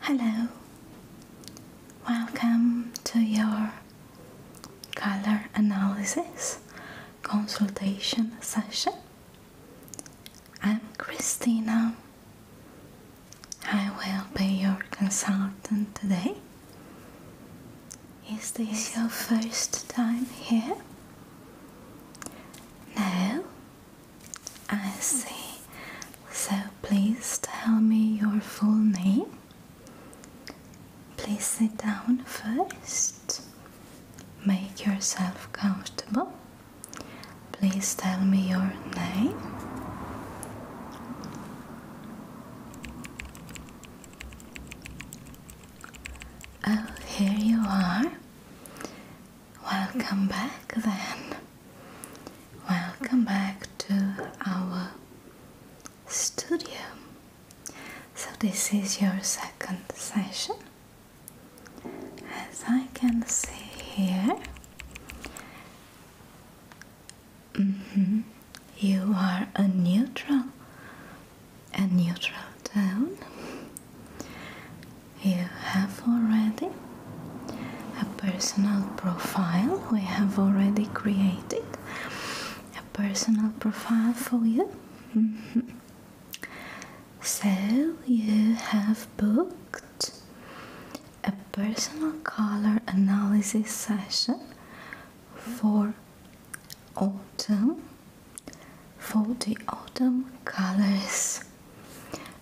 Hello, welcome to your color analysis consultation session. I'm Christina. I will be your consultant today. Is this your first time here? No, I see. So please tell me your full name. Please sit down first. Make yourself comfortable. Please tell me your name. Oh, here you are. Welcome back then. Welcome back to our studio. So, this is your second session. As I can see here, mm-hmm, you are a neutral, a neutral you have already a personal profile, we have already created a personal profile for you. So you have booked a personal color analysis session for autumn for the autumn colors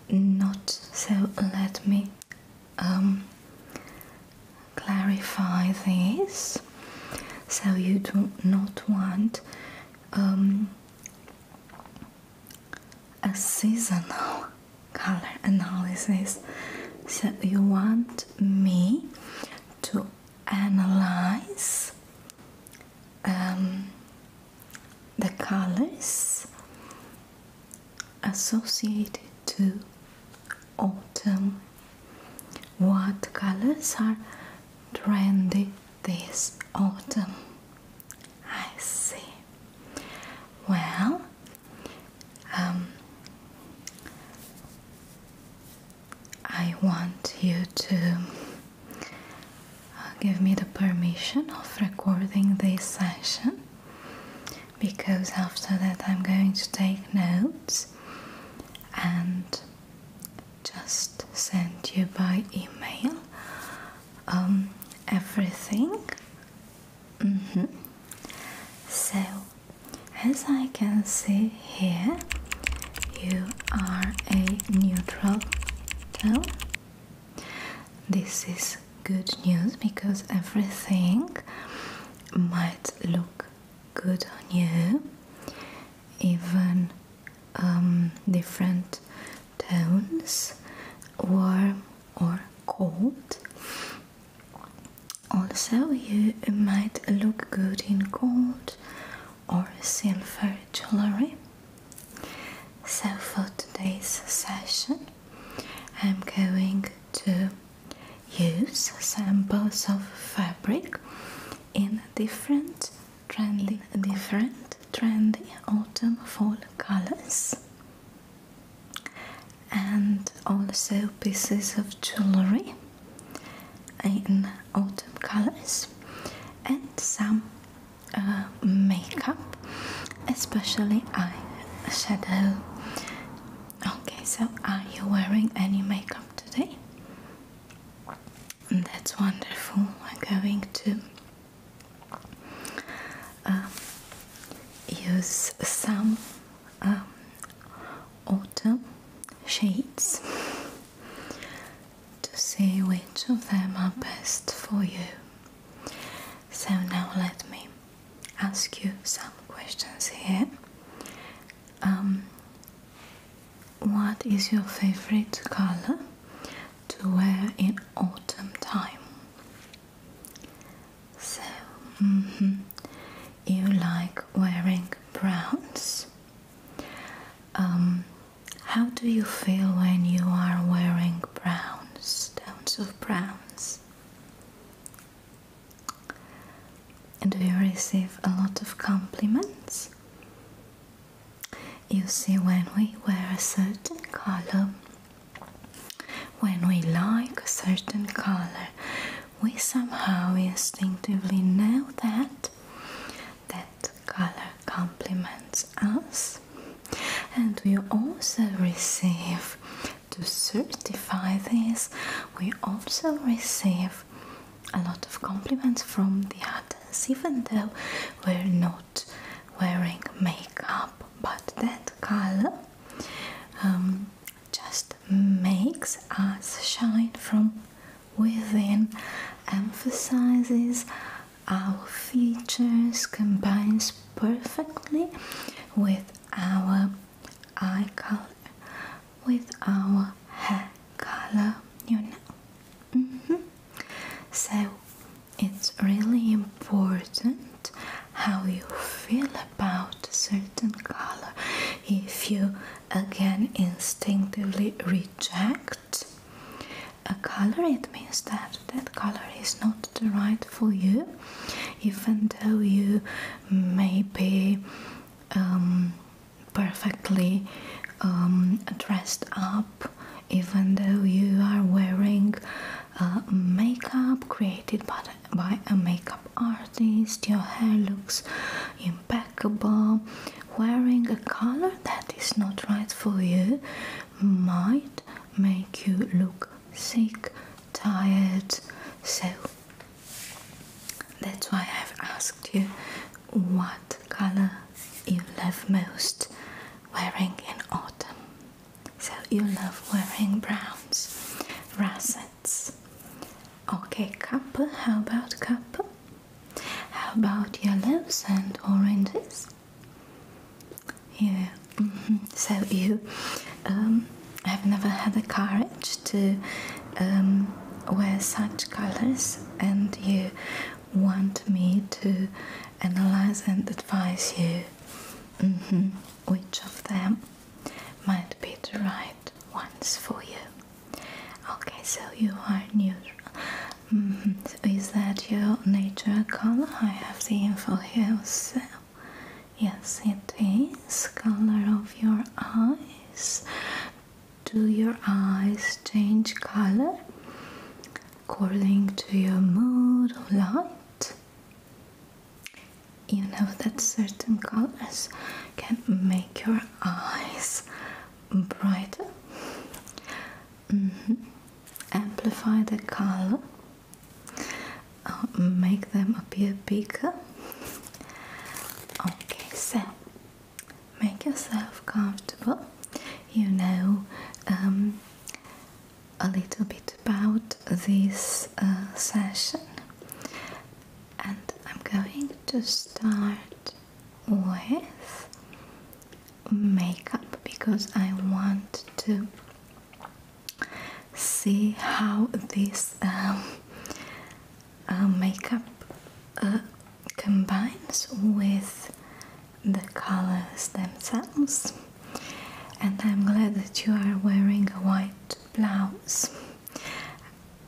not so let me um, clarify this so you do not want um, a seasonal color analysis so you want me to analyze um, the colors associated to autumn. What colors are trendy this autumn? I see. Well, um, I want you to uh, give me the permission of recording this session because after that I'm going to take notes and just send you by email um, everything. Mm-hmm. So, as I can see here, you are a neutral this is good news because everything might look good on you, even um, different tones, warm or cold. Also, you might look good in cold or silver jewelry. So, for today's session, I'm going to use samples of fabric in different trendy, different trendy autumn fall colors and also pieces of jewelry in autumn colors and some uh, makeup, especially eye shadow. Okay, so are you wearing any makeup today? That's wonderful. We're going to um, use some um, autumn shades to see which of them are best for you. So now let me ask you some questions here. Um, what is your favorite color to wear in autumn time? So, mm-hmm. you like wearing browns. Um, how do you feel when you are wearing browns, tones of browns? And we receive a lot of compliments? You see, when we wear a certain color, when we like a certain color, we somehow instinctively know that that color complements us, and we also receive to certify this, we also receive a lot of compliments from the others, even though we're not wearing makeup, but that color um, just makes us shine from within, emphasizes our features combines perfectly with our eye color with our hair color you know mm-hmm. so it's really important how you feel about a certain color if you again instinctively reject a color, it means that that color is not the right for you, even though you may be um, perfectly um, dressed up, even though you are wearing makeup created by a makeup artist, your hair looks impeccable. Wearing a color that is not right for you might make you look sick, tired. So that's why I've asked you what color you love most wearing in autumn. So you love wearing browns, russets. Okay, copper. how about copper? How about yellows and oranges? Yeah. So you um, have never had the courage to um, wear such colors, and you want me to analyze and advise you mm-hmm. which of them might be the right ones for you. Okay, so you are neutral. Mm-hmm. is that your natural color? I have the info here Yes, it is. Color of your eyes. Do your eyes change color according to your mood or light? You know that certain colors can make your eyes brighter Mm-hmm. Amplify the color, uh, make them appear bigger. Okay, so make yourself comfortable. You know um, a little bit about this uh, session, and I'm going to start with makeup because I want to see how this um, uh, makeup uh, combines with the colors themselves and I'm glad that you are wearing a white blouse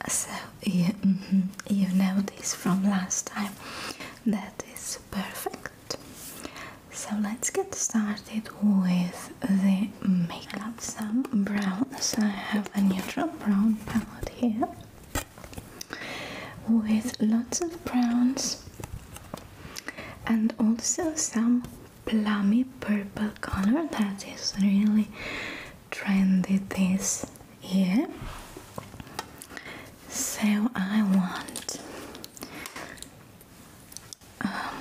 so you know this from last time that is perfect so let's get started with the makeup. Some So I have a neutral brown palette here with lots of browns and also some plummy purple color that is really trendy this year. So I want um,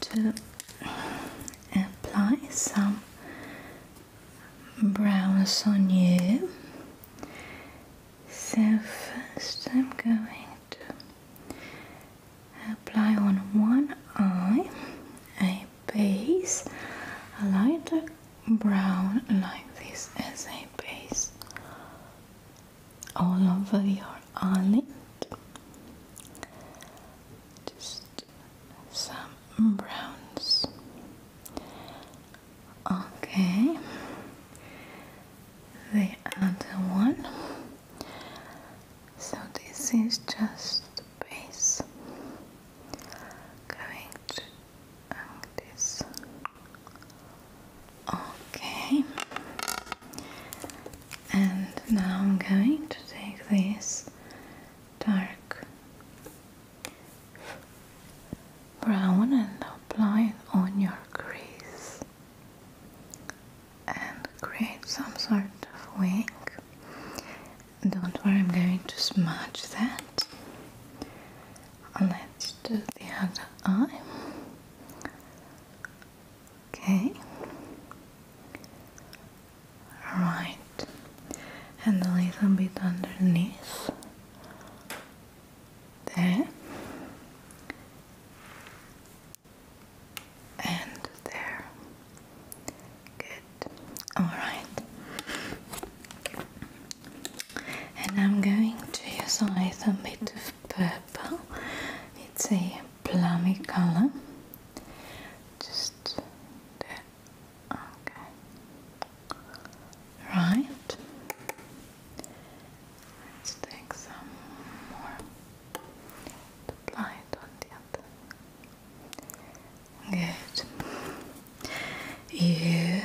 to apply some browns on you. So first I'm going to apply on one eye a base, a lighter brown like this as a base all over your eyelid just some browns okay the other one so this is just the base going and Okay, and now I'm going to take this dark brown and apply it on your crease and create some sort of wing. Don't worry, I'm going to smudge that Let's do the other eye. Okay. Right. And a little bit underneath. There. And there. Good. All right and I'm going to use a bit of purple. It's a plumy color. Just there. Okay. Right. Let's take some more. Apply it on the other. Good you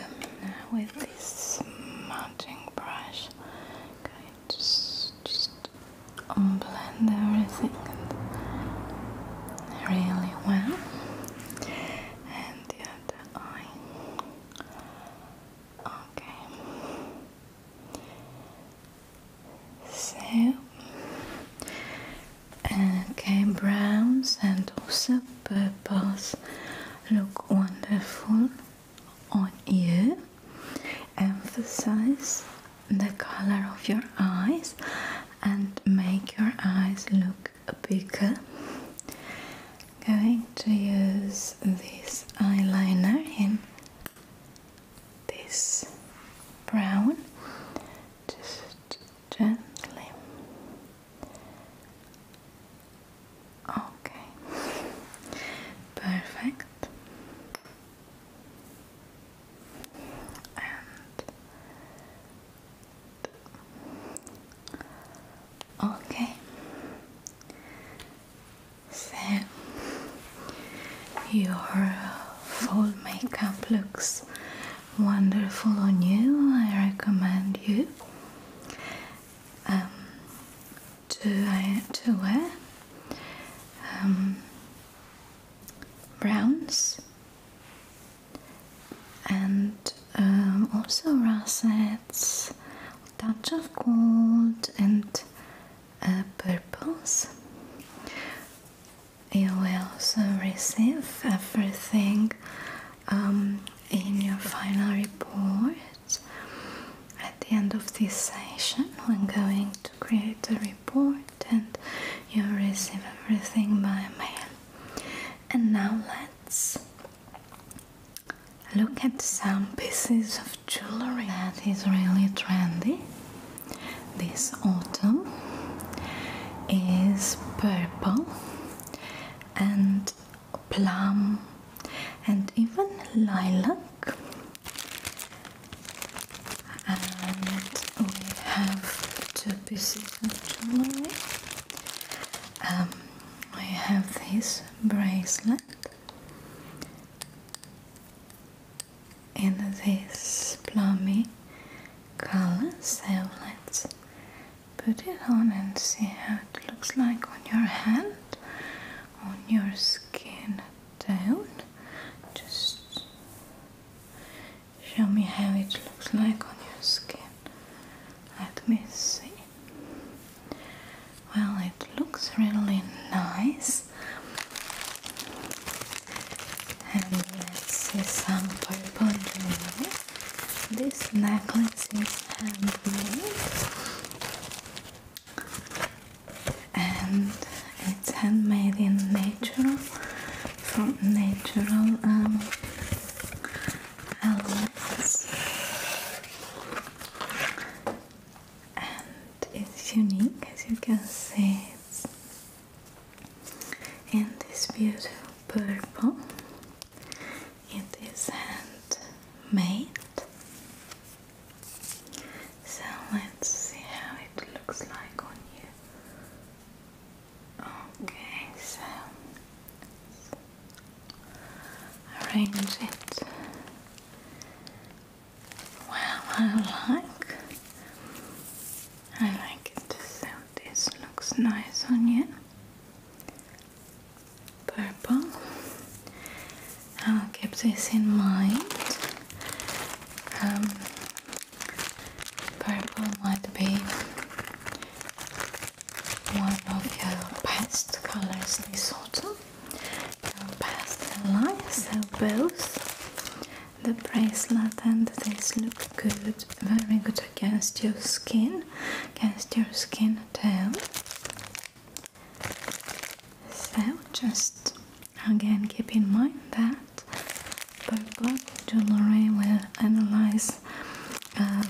with this mounting brush. Okay, just just blend everything really well. And the other eye. Okay. So, okay, browns and also purples look wonderful on you. Emphasize the color of your eyes and make your eyes look bigger. Going to use this eyeliner in this brown just gently. Okay, perfect. And okay, so your full makeup looks wonderful on you. I recommend you um, to, to wear um, browns and um, also russets, touch of gold and uh, purples. You will also receive everything um, in your final report at the end of this session we're going to create a report and you'll receive everything by mail and now let's look at some pieces of jewelry that is really trendy this autumn is purple and plum, and even lilac. And we have two pieces of jewelry. Um, we have this bracelet in this plumy color, so Put it on and see how it looks like on your hand, on your skin down. Just show me how it looks like on your skin. Let me see. Well, it looks really nice. And let's see some purple doing this necklace is handmade and it's handmade in natural from natural um, elements and it's unique as you can see it's in this beautiful purple it is handmade. So let's see how it looks like on you. Okay, so arrange it. Wow, I like. I like it. So this looks nice on you purple. I will keep this in mind. Um, purple might be one of your best colors this autumn. Your pastel lines, so both the bracelet and this look good, very good against your skin skin against your skin too. So just again keep in mind that purple jewelry will analyze um,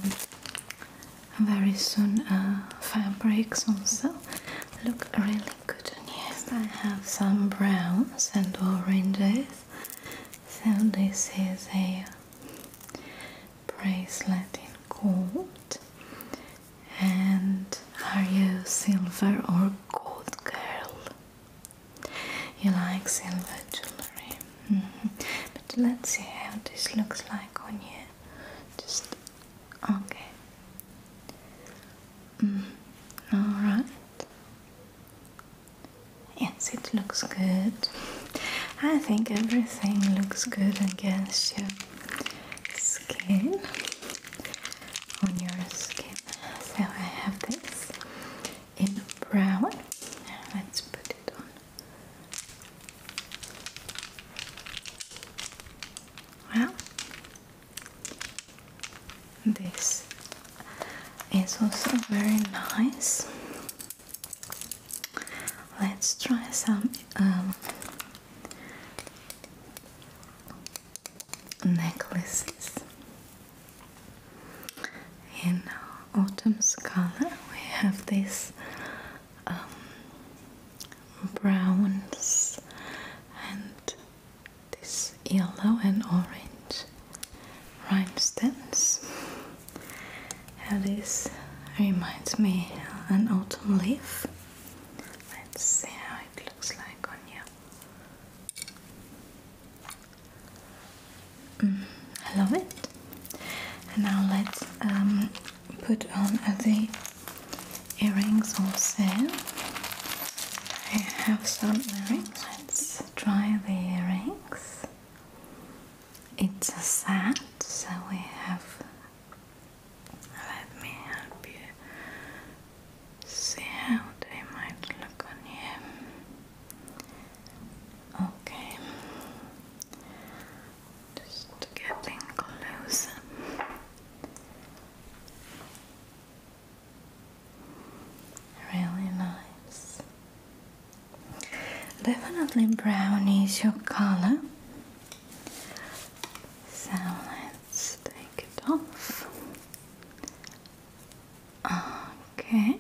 very soon uh, fabrics also look really good on you. I have some browns and oranges so this is a bracelet in gold. And are you silver or gold girl? You like silver jewelry. Mm-hmm. But let's see how this looks like on you. Just okay. Mm-hmm. all right. Yes, it looks good. I think everything looks good against your skin, on your skin. So I have this in brown. Let's put it on. Well, this is also very nice. Let's try some um, necklaces in autumn's color. We have this um, browns and this yellow and orange rhinestones. And this reminds me an autumn leaf. Let's see how it looks like on you. Mm, I love it. And now let's um, put on the earrings also. I have some earrings. Let's try the earrings it's a set, so we have. Let me help you see how they might look on you. Okay, just getting closer. Really nice. Definitely brown is your color. So let's take it off. Okay.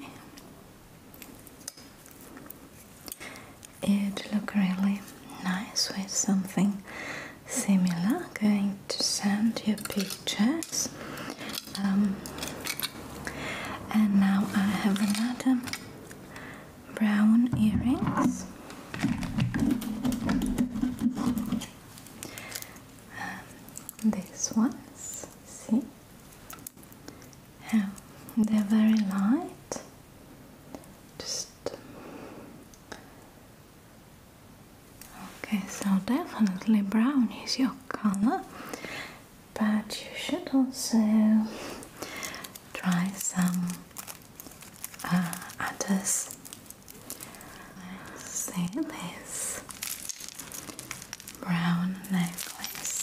It look really nice with something similar. Going to send you pictures. Um, and now I have another brown earrings. Um, this one. see? Yeah, um, they're very light. Just okay, so definitely brown is your color, but you should also try some uh, others. let this brown necklace.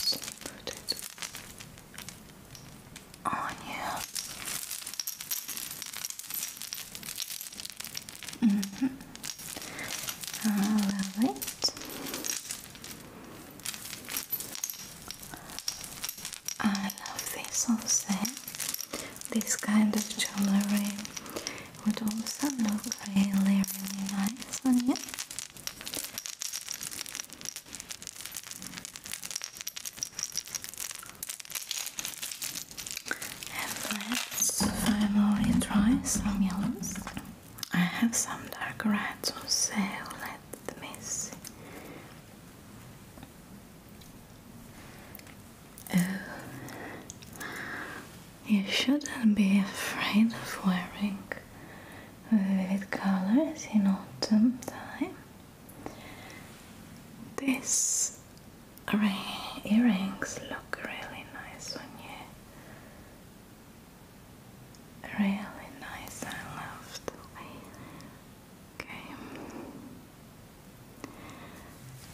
Just put Mm -hmm. All right. I love this also. This kind of jewelry would also look really, really nice on you. And let's finally try some yellows. I have some dark reds on sale, let me oh, you shouldn't be afraid of wearing vivid colors in autumn time. This earrings look really nice on you. Really nice, I love the way. Okay.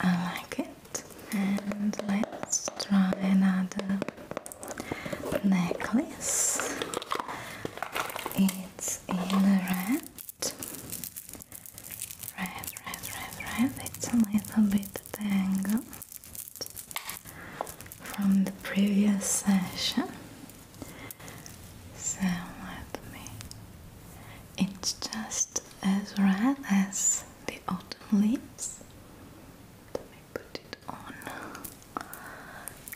I like it. And let's try another necklace. It's in red Right, right, right, right. It's a little bit tangled from the previous session. So let me. It's just as red as the autumn leaves. Let me put it on.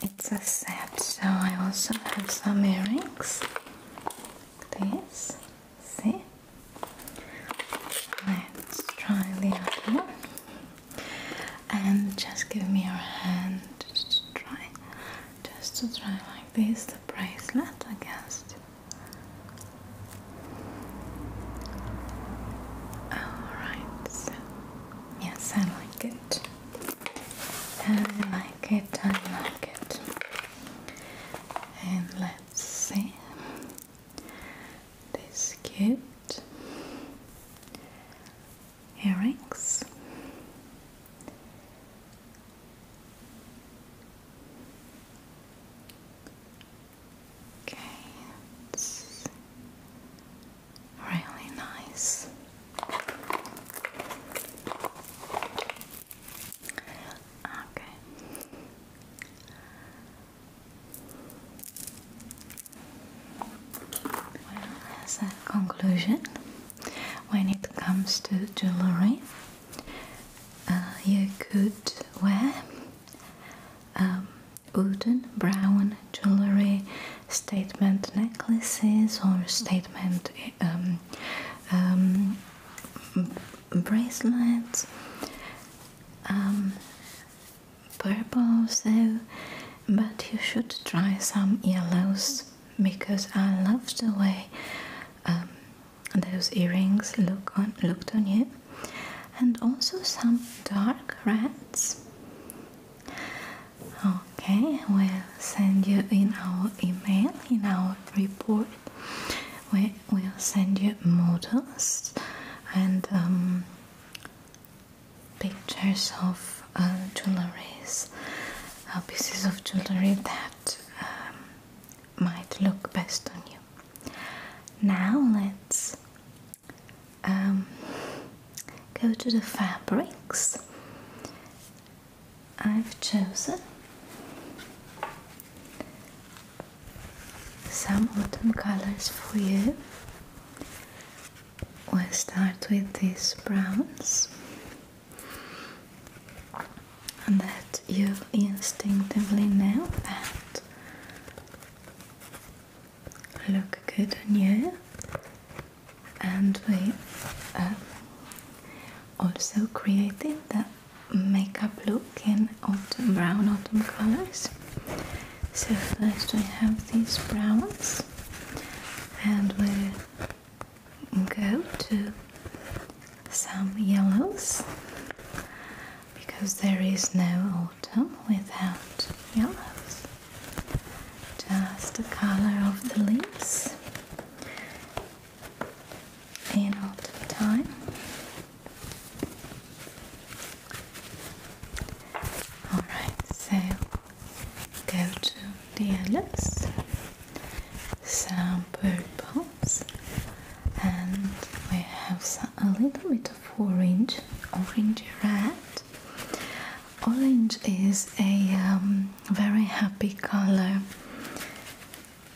It's a set, so I also have some earrings. this. See? Let's try the other one. And just give me your hand just to try. Just to try like this the bracelet against. Alright, so yes, I like it. I like it, I like it. And let's see. This cute earrings. Okay, really nice. Okay, well, as a conclusion, when it comes to jewelry, uh, you could wear um, wooden brown jewelry, statement necklaces, or statement um, um, bracelets. Um, purple so but you should try some yellows because I loved the way um, those earrings looked on you and also some dark reds okay we'll send you in our email in our report we we will send you models and um, pictures of uh, jewelries, uh, pieces of jewelry that um, might look best on you. Now let's um, go to the fabrics. I've chosen some autumn colors for you. we start with these browns and that you instinctively know that look good on you and we uh, also created that makeup look in autumn brown autumn colors so first I have these browns and we'll go to some yellows because there is no autumn without yellows just the color of the leaves in autumn time Alright, so go to the yellows, some purples, and we have a little bit of orange, orange red. Orange is a um, very happy color,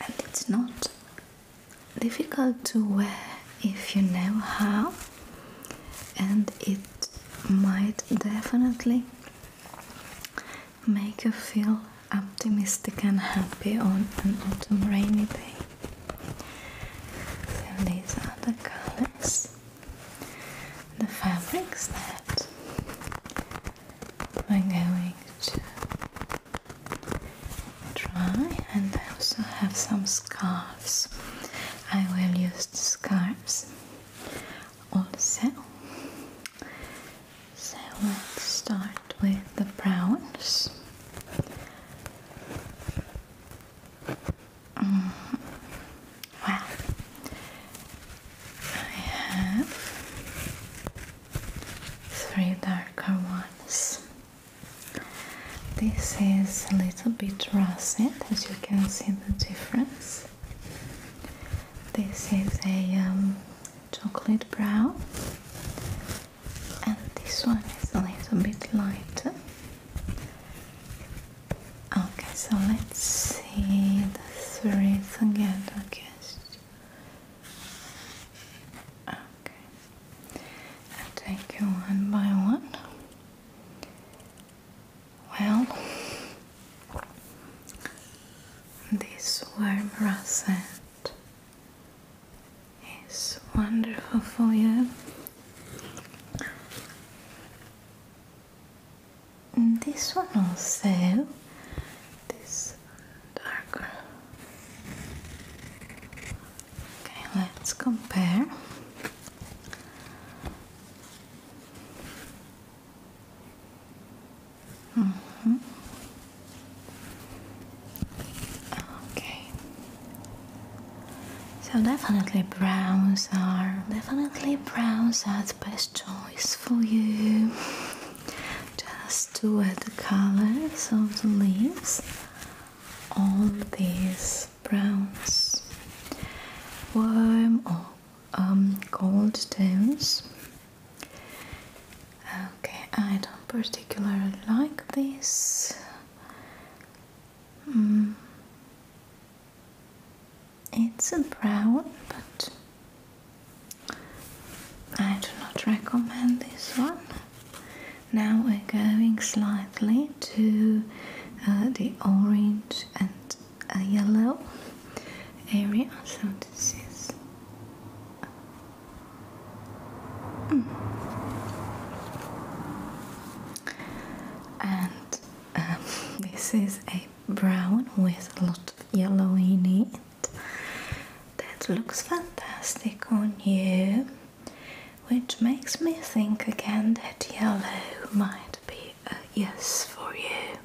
and it's not difficult to wear if you know how, and it might definitely make you feel optimistic and happy on an autumn rainy day. So these are the colors, the fabrics that we're going to dry and I also have some scarves. I will use the scarves also. So let's start with the browns. Mm. I have three darker ones. This is a little bit russet, as you can see the difference. This is a um, chocolate brown, and this one is a little bit lighter. Okay, so let's see the threads again. Okay. Okay. I'll take you one by one. Well, this warm rosette is wonderful for you. And this one also, this darker. Okay, let's compare. Mm-hmm. Okay. So definitely browns are definitely browns are the best choice for you. Just to add the colors of the leaves all these browns, warm or um, gold cold tones. Okay, I don't particularly like this. Hmm. It's a brown, but I do not recommend this one. Now we're going slightly to uh, the orange and uh, yellow area. So this is mm. and um, this is a brown with a lot of yellow in it. That looks fantastic on you which makes me think again that yellow might be a yes for you.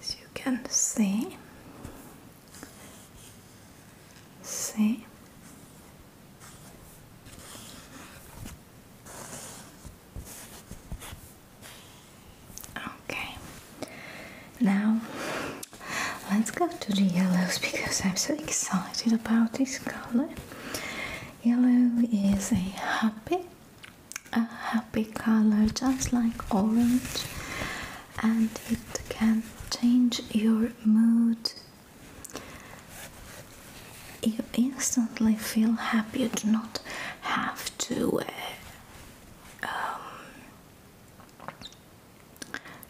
As you can see, see. Okay, now let's go to the yellows because I'm so excited about this color. Yellow is a happy, a happy color just like orange and it can change your mood. You instantly feel happy. You do not have to uh, um,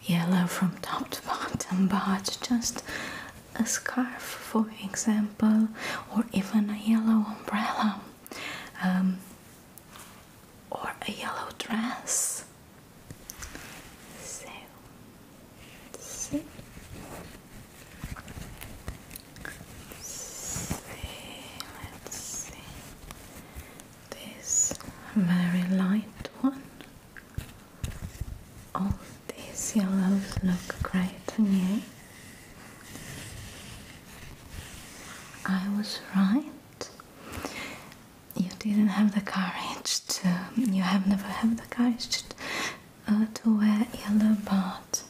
yellow from top to bottom, but just a scarf, for example, or even a yellow umbrella, um, or a yellow dress. So, see. see, let's see this very light one. All oh, these yellows look great on you. I was right. You didn't have the courage to. You have never had the courage to, uh, wear yellow, but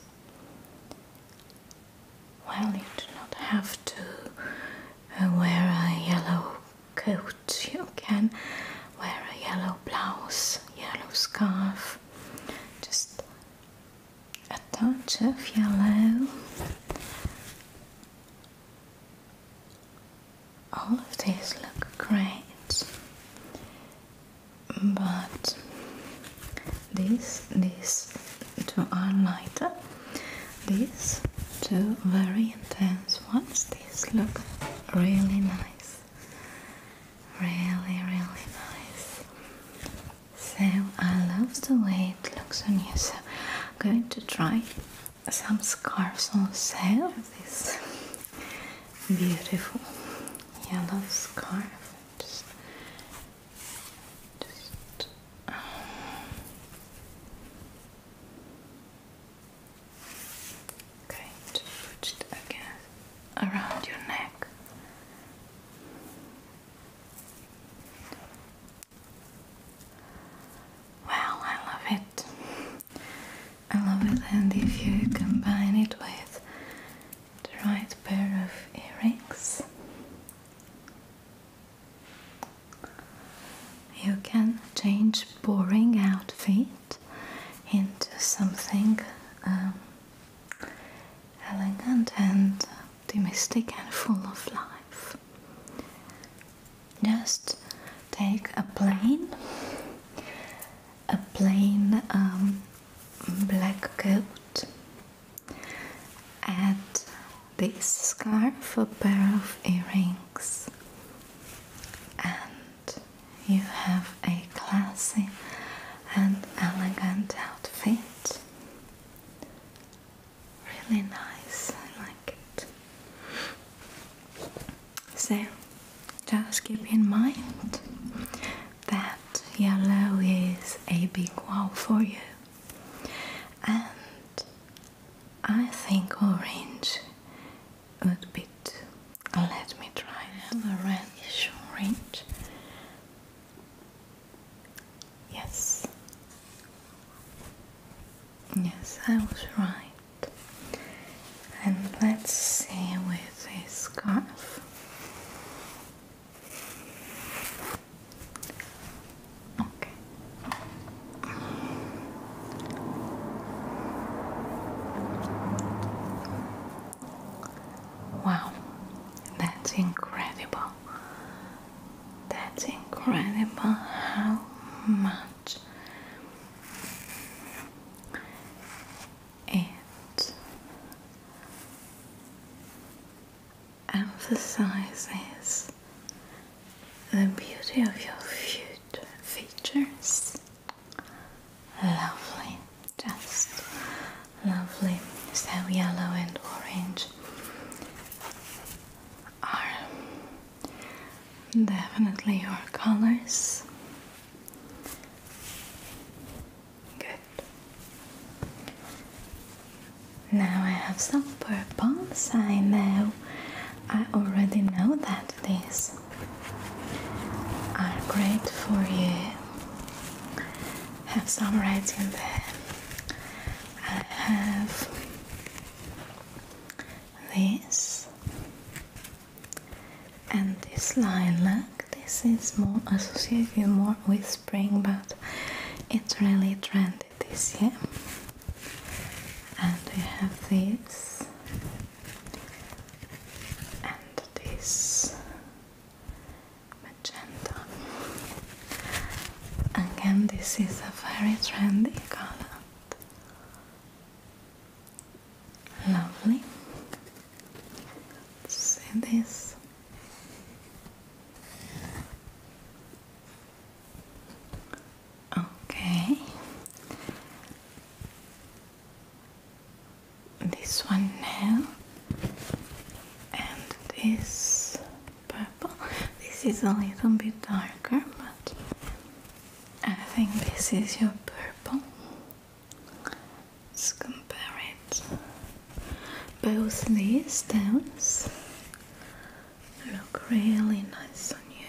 well, you do not have to uh, wear a yellow coat. You can wear a yellow blouse, yellow scarf, just a touch of yellow. All of these look great, but these these two are lighter these two very intense ones, these look really nice. Really, really nice. So I love the way it looks on you. So I'm going to try some scarves on sale. This beautiful yellow scarf. Just, just, um, Okay, just put it again around your neck. Well, I love it. I love it, and if you combine it with the right pair of earrings, you can change boring outfit into something um, elegant and domestic and full of life. Just take a plain, a plain um, black coat, add this scarf, a pair of earrings, and you have a classy and elegant outfit. Really nice, I like it. So, just keep in mind that yellow is a big wow for you, and I think orange a little bit. Let me try another reddish orange. Yes. Yes, I was right. And let's see with a scarf. Okay. Wow, that's incredible. That's incredible how much it emphasizes the beauty of your features. Lovely, just lovely. So yellow and orange are definitely your colors. Good. Now I have some purples. I know I already know that these are great for you. Have some right in there. I have this and this lilac. This is more associated more with spring, but it's really trendy this year and we have this and this magenta again this is a very trendy color lovely see this Okay. This one now, and this purple. This is a little bit darker, but I think this is your purple. Let's compare it. Both these stones look really nice on you.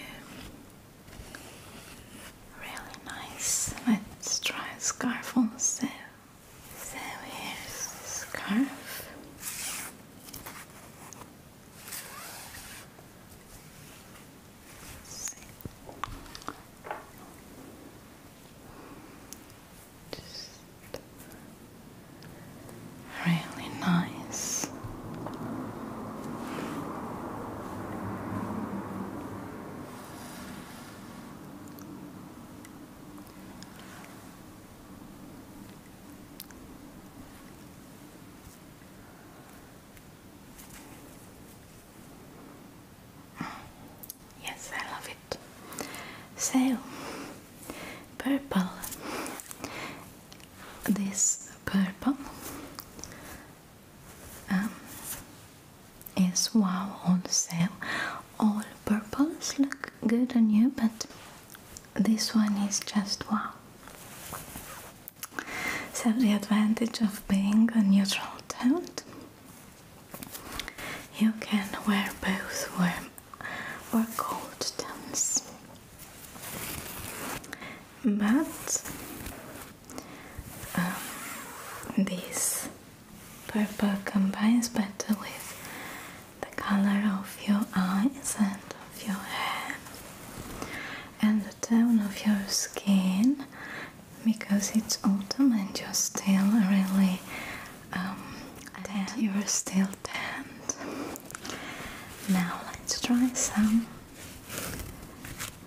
Really nice. Let's try scarf on. So here's the scarf really nice. Yes, I love it. So, purple this purple um, is wow on sale. All purples look good on you, but this one is just wow. So the advantage of being a neutral tone, you can wear both warm or cold tones but um, this purple combines better with the color of your eyes and of your hair and the tone of your skin because it's autumn and you're still really um, tan. You're still tanned. Now let's try some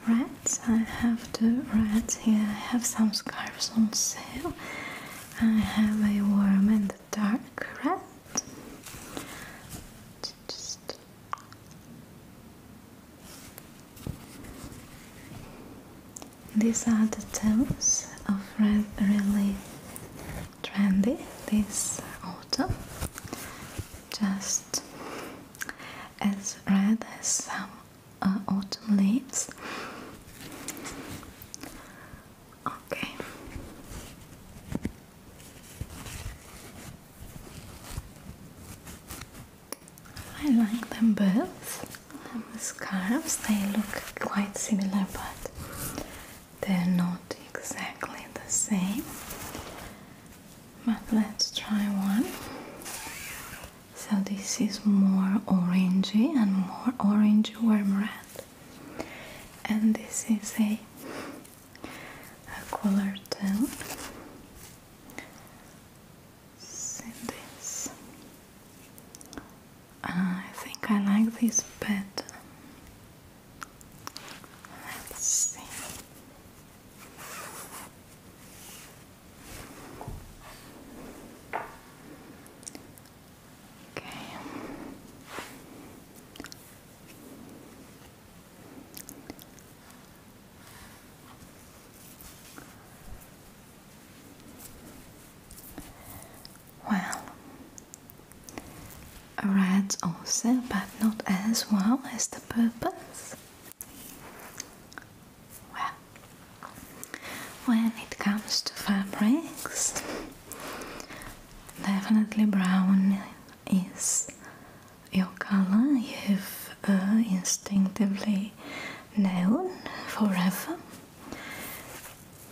Rats, I have the rats here. I have some scarves on sale. I have a worm and a dark rat. Just these are the tones of red, really trendy this autumn just as red as some uh, autumn leaves. Okay. I like them both. the scarves, they look quite similar, but they're not exactly the same but let's try one. So this is more orangey and more orangey warm red, and this is a a color tone. See this? I think I like this better. Let's see. Okay. Well, red also, but not as well as the purples. Well, when it comes to fabrics, definitely brown is your color you've uh, instinctively known forever.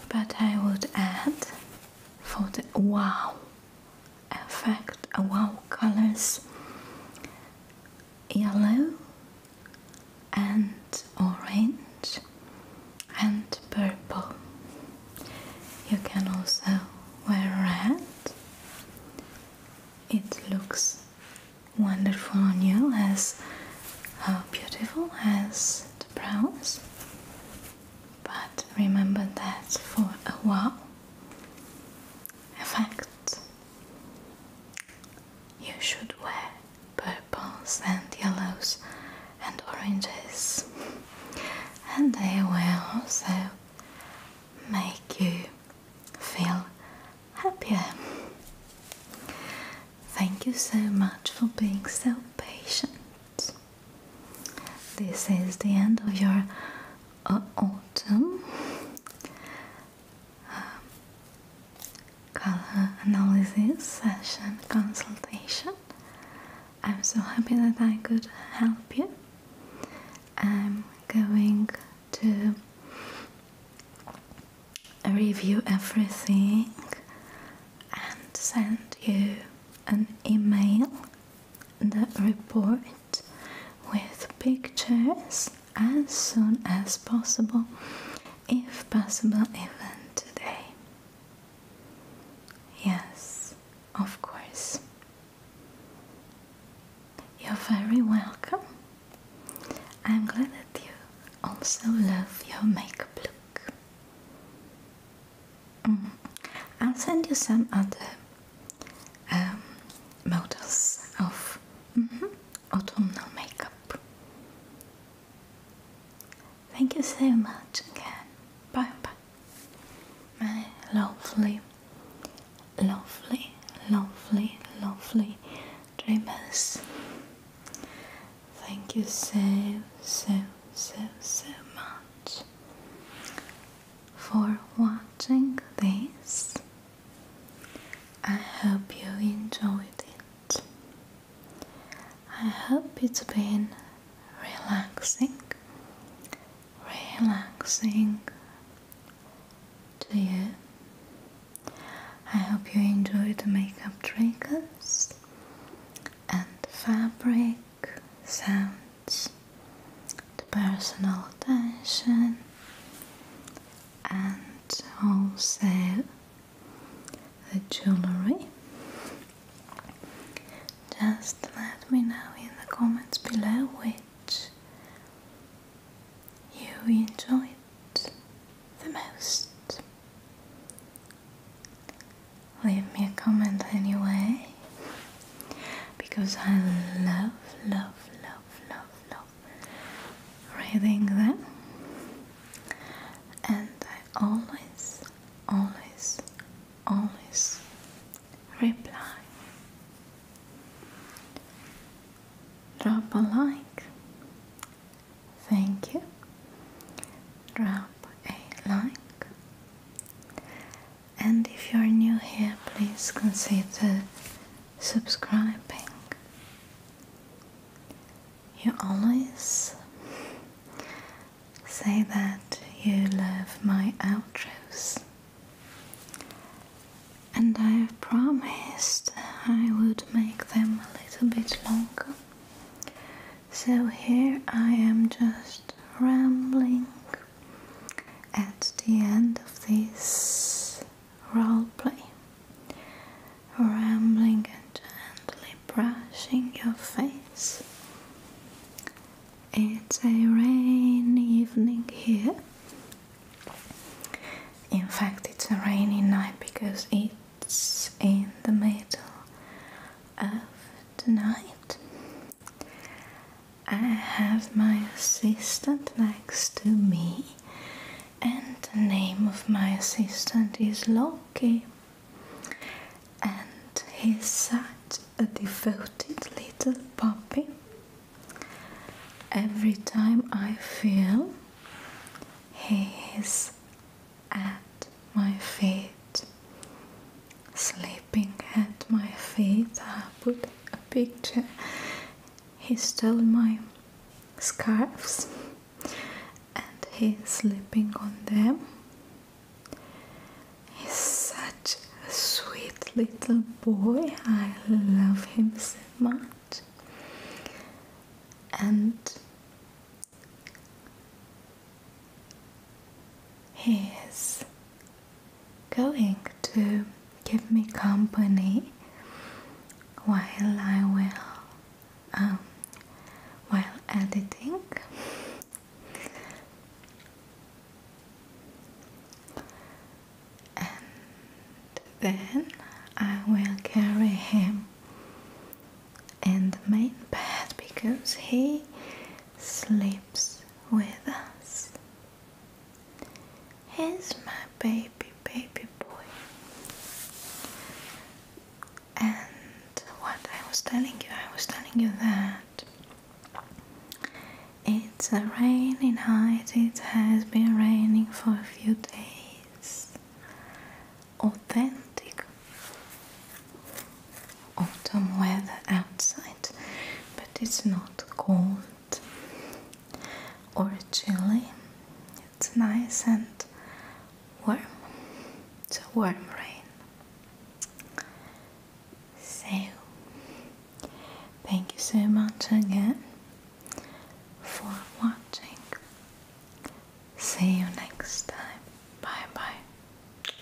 But I would add for the wow effect wow colors yellow and orange and purple you can also wear red it looks wonderful on you as how uh, beautiful as the browns but remember that for a while Effect You should wear purples and yellows and oranges, and they will also make you feel happier. Thank you so much for being so patient. This is the end of your uh, autumn um, color analysis session consultation. I'm so happy that I could help you. I'm going to review everything and send you an email, the report with pictures as soon as possible if possible even today. Yes, of course. You're very welcome. I'm glad that you also love your makeup look. Mm-hmm. I'll send you some other um, models of mm-hmm, autumnal makeup. Thank you so much again. Bye bye. My lovely, lovely, lovely, lovely dreamers. Thank you so, so, so, so much for watching this. I hope you enjoyed it. I hope it's been relaxing, relaxing to you. I hope you enjoyed the makeup triggers and fabric sounds, the personal attention, and also the jewelry. Just let me know in the comments below which you enjoyed the most. Leave me a comment anyway because I love, love, love, love, love reading that, and I always, always, always reply. Drop a like. Thank you. Drop a like. And if you're new here, please consider subscribing. You always say that you love my outros, and I have promised I would make them a little bit longer. So here I am just rambling at the end of this role play, rambling and gently brushing your face. It's a rainy evening here. In fact, it's a rainy night because it's in the middle of the night I have my assistant next to me, and the name of my assistant is Loki. And he's such a devoted little puppy. Every time I feel he is at my feet, sleeping wiping at my feet. I put a picture. He stole my scarves and he's sleeping on them. He's such a sweet little boy. I love him so much. And he's going to give me company while I will um, while editing. And then I will carry him in the main bed because he sleeps with us. He's my baby, baby boy. And what I was telling you, I was telling you that it's raining rainy it has been raining for a few days. Authentic autumn weather outside but it's not cold or chilly. It's nice and warm. It's a warm rain. So, thank you so much again for watching. See you next time. Bye bye.